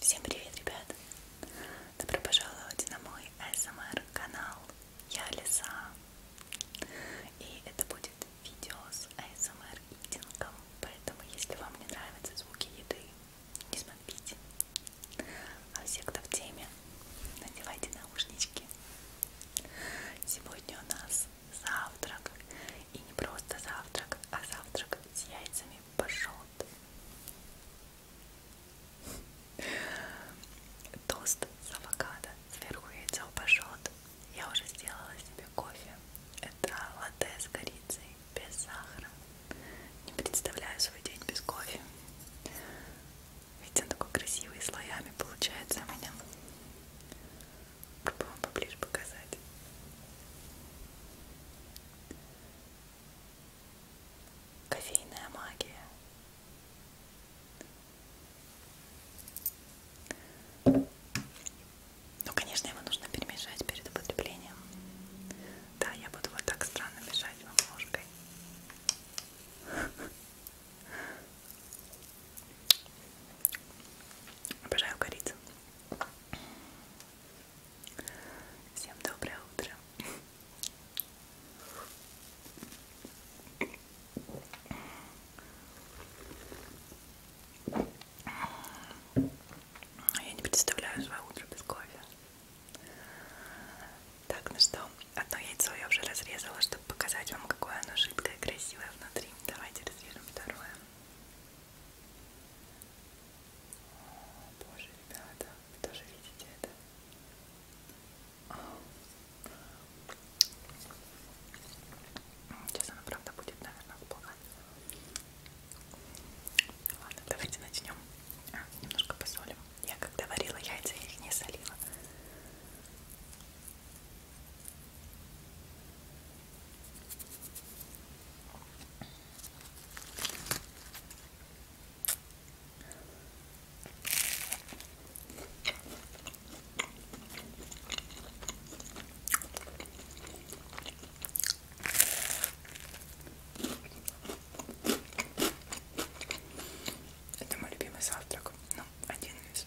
Всем привет, ребят! Добро пожаловать на мой СМР канал. Я Лиса. И это будет видео с АСМР-идингом. Поэтому, если вам не нравятся звуки еды, не смотрите. А все, кто в теме, надевайте наушнички. Сегодня у нас завтрак. И не просто завтрак, а завтрак с яйцами пашот. Тост с авокадо, сверху яйцо пашот. Я уже сделала себе кофе. Это латте с корицей без сахара. Не представляю свой день без кофе. Ведь он такой красивый, слоями получается у меня. Попробуем поближе показать. Кофейная магия. Ну, конечно, его нужно перемешать перед употреблением. Да, я буду вот так странно мешать вам ложкой. Обожаю корицу. Всем доброе утро. Я не представляю свое утро без кофе. Так, ну что, одно яйцо я уже разрезала, чтобы показать вам, какое оно жидкое и красивое внутри. Давайте разрежем второе. О, боже, ребята, вы тоже видите это? Сейчас она, правда, будет, наверное, плохо. Ладно, давайте начнем. А, немножко посолим. Я когда варила яйца, я их не солила. Это мой любимый завтрак. Ну, один из.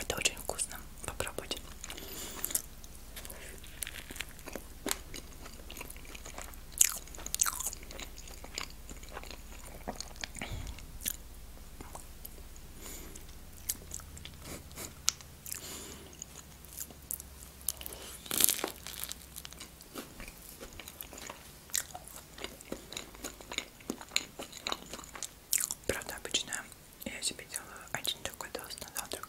Это очень вкусно. Попробуйте. Правда, обычно я себе делаю один такой тост на завтрак.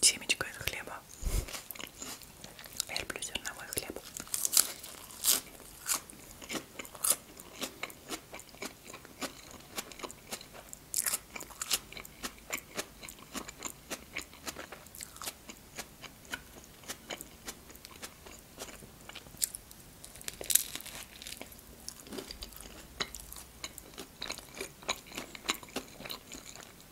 семечко из хлеба. Я люблю зерновой хлеб.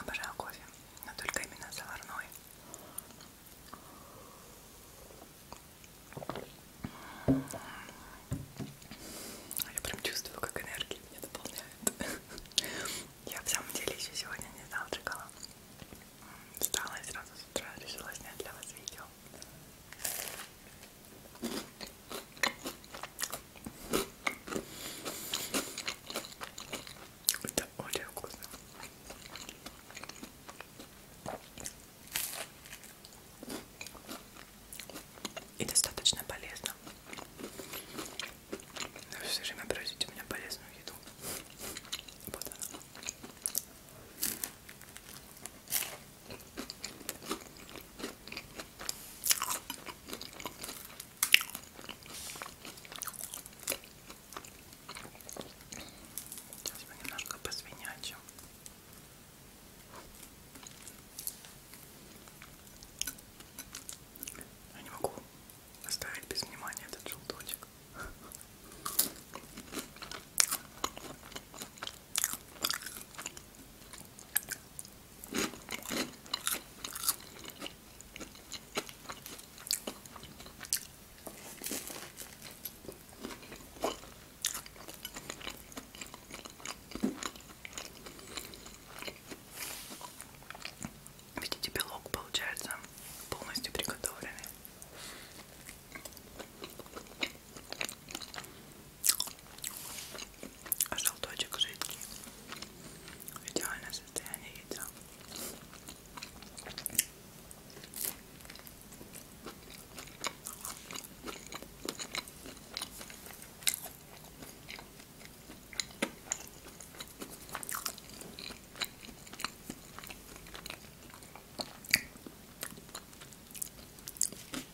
Обожаю кофе, но только именно заварной. А я прям чувствую, как энергия меня дополняет. Я в самом деле еще сегодня не завтракала. Встала и сразу с утра решила снять для вас видео. Это очень вкусно. И достаточно полезно. Но все время просите у меня полезную еду. Вот она. Сейчас мы немножко посвинячим. Я не могу оставить без внимания этот желточек. Видите, белок получается полностью приготовленный. А желточек жидкий. Идеальное состояние яйца.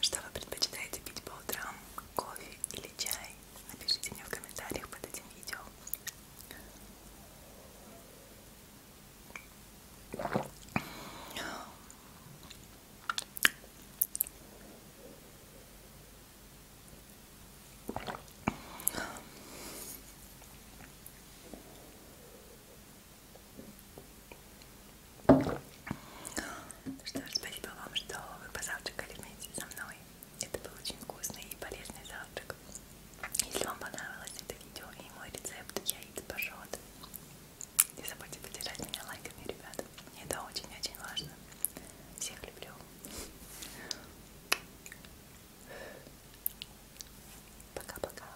Что вы предпочитаете пить по утрам? Кофе или чай? Напишите мне в комментариях под этим видео. Что ж, спасибо вам, что вы позавтракали вместе со мной. Это был очень вкусный и полезный завтрак. Если вам понравилось это видео и мой рецепт яиц пашот, не забудьте поддержать меня лайками, ребята. Мне это очень-очень важно. Всех люблю. Пока-пока.